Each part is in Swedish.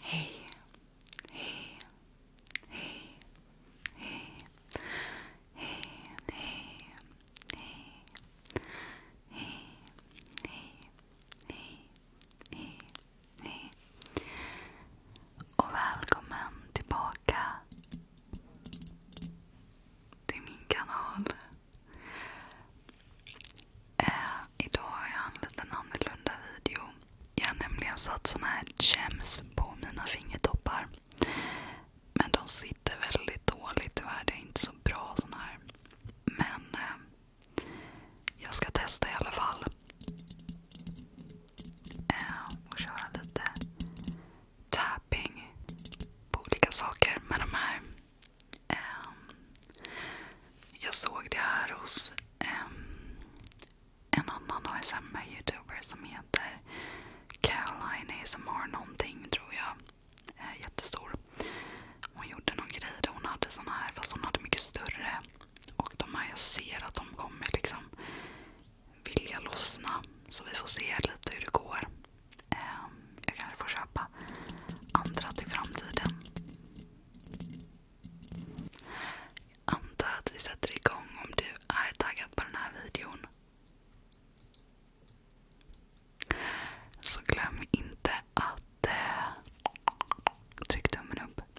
Hej, hej, hej, hej, hej, hej, hej, hej, hej, hej, hej. Och välkommen tillbaka det är min kanal. Eh, idag har jag en liten annorlunda video. Jag har nämligen satt såna här gems på mina fingertoppar. Men de sitter väldigt dåligt tyvärr. Det är inte så bra såna här. Men eh, jag ska testa i alla fall. Eh, och köra lite tapping på olika saker. med de här... Um, jag såg det här hos um, en annan ASMR-youtuber som heter Caroline ASMR någonting tror jag. Eh, jättestor. Hon gjorde någon grej där hon hade såna här fast hon hade mycket större. Och de här jag ser att de kommer liksom vilja lossna. Så vi får se lite hur det går. Ehm, jag kanske får köpa andra till framtiden. Jag antar att vi sätter igång om du är taggad på den här videon. Så glöm inte att eh, tryck tummen upp,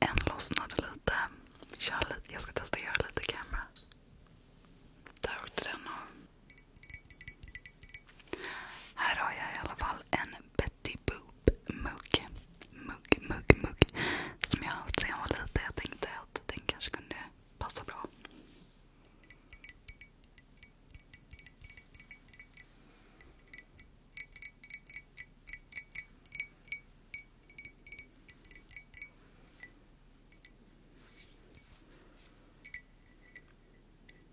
En lossnade lite. Jag ska testa att göra lite kamera. Där åkte den av. Här har jag i alla fall en Betty Boop mugg. Mugg, mugg, mugg. Som jag har haft sedan jag var liten. Jag tänkte att den kanske kunde passa bra.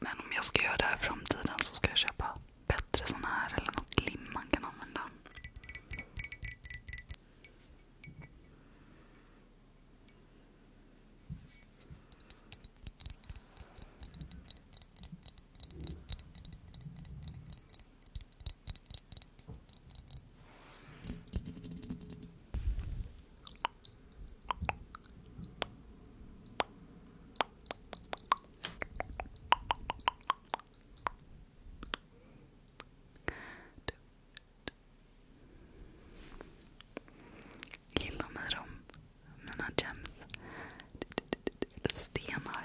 Men om jag ska göra det här i framtiden så ska jag köpa bättre sån här eller något lim man kan använda. Gilla mig om mina gems. Eller stenar.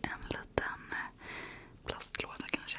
En liten eh, plastlåda kanske.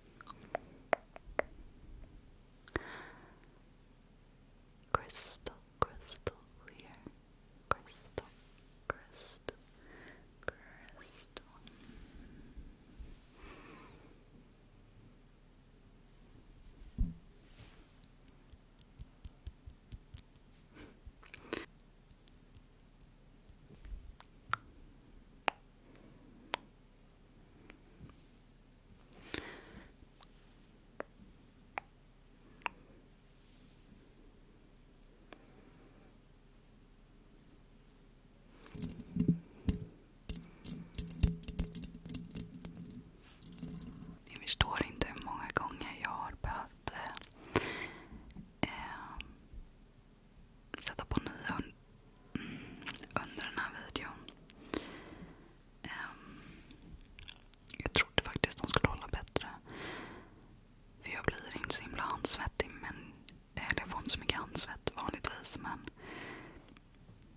Crystal, crystal clear. Crystal, crystal, crystal. Ni förstår inte hur många gånger jag har behövt eh, sätta på nya mm, under den här videon. Ehm, jag trodde faktiskt de skulle hålla bättre. För jag blir inte så himla handsvettig. Men, eller jag får inte så mycket handsvett vanligtvis. Men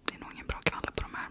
det är nog ingen bra kvalle på de här.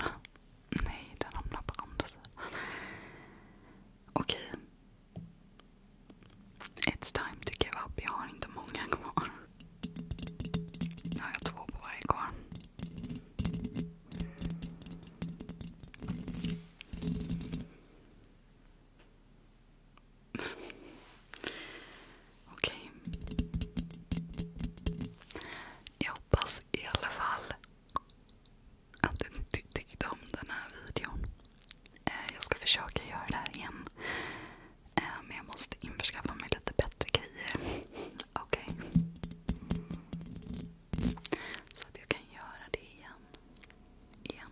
Ah, nee, dan om hamnar på Oké, It's time to give up. Jag har inte många kvar. Nou, har jag två på varje Okej. Jag hoppas i alla fall att ni tyckte om den här videon. Eh, jag ska försöka göra det här igen. Eh, men jag måste införskaffa mig lite bättre grejer. Okej. Så att jag kan göra det igen. Igen.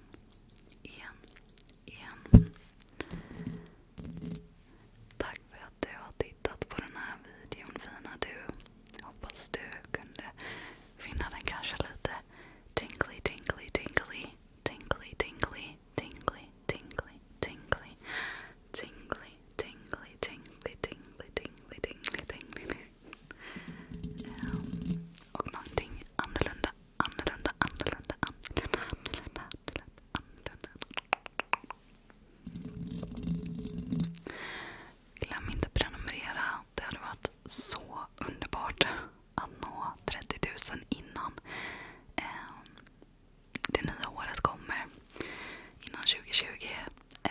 Igen. Igen. Tack för att du har tittat på den här videon fina du. Hoppas du kunde finna den kanske lite tingly, tingly, tingly, tingly, tingly, tingly, tingly, tingly tingly, tingly, tingly, tingly, tingly, tingly, tingly. Um, och någonting annorlunda, annorlunda, annorlunda, annorlunda, annorlunda, annorlunda, annorlunda. Glöm inte att prenumerera. Det hade varit så underbart att nå 30 000 innan. Um, det nya året kommer innan 2020 eh,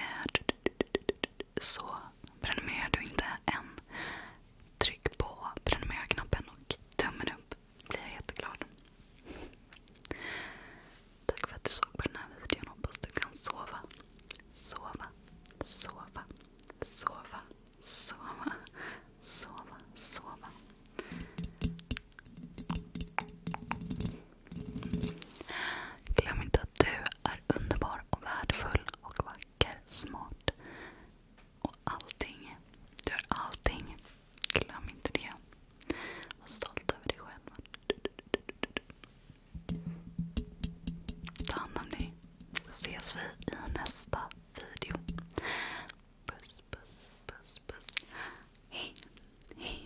så prenumererar du inte än, tryck på prenumerera-knappen och tummen upp. blir jag jätteglad. Tack för att du såg på den här videon. Hoppas du kan sova. Sova, sova, sova, sova, sova, sova. Glöm inte att du är underbar och värdefull och vacker, smart och allting. Du är allting. Glöm inte det. Var stolt över dig själv. Ta hand om dig. Ses vi i nästa video. Puss, puss, puss, puss. Hej, hej.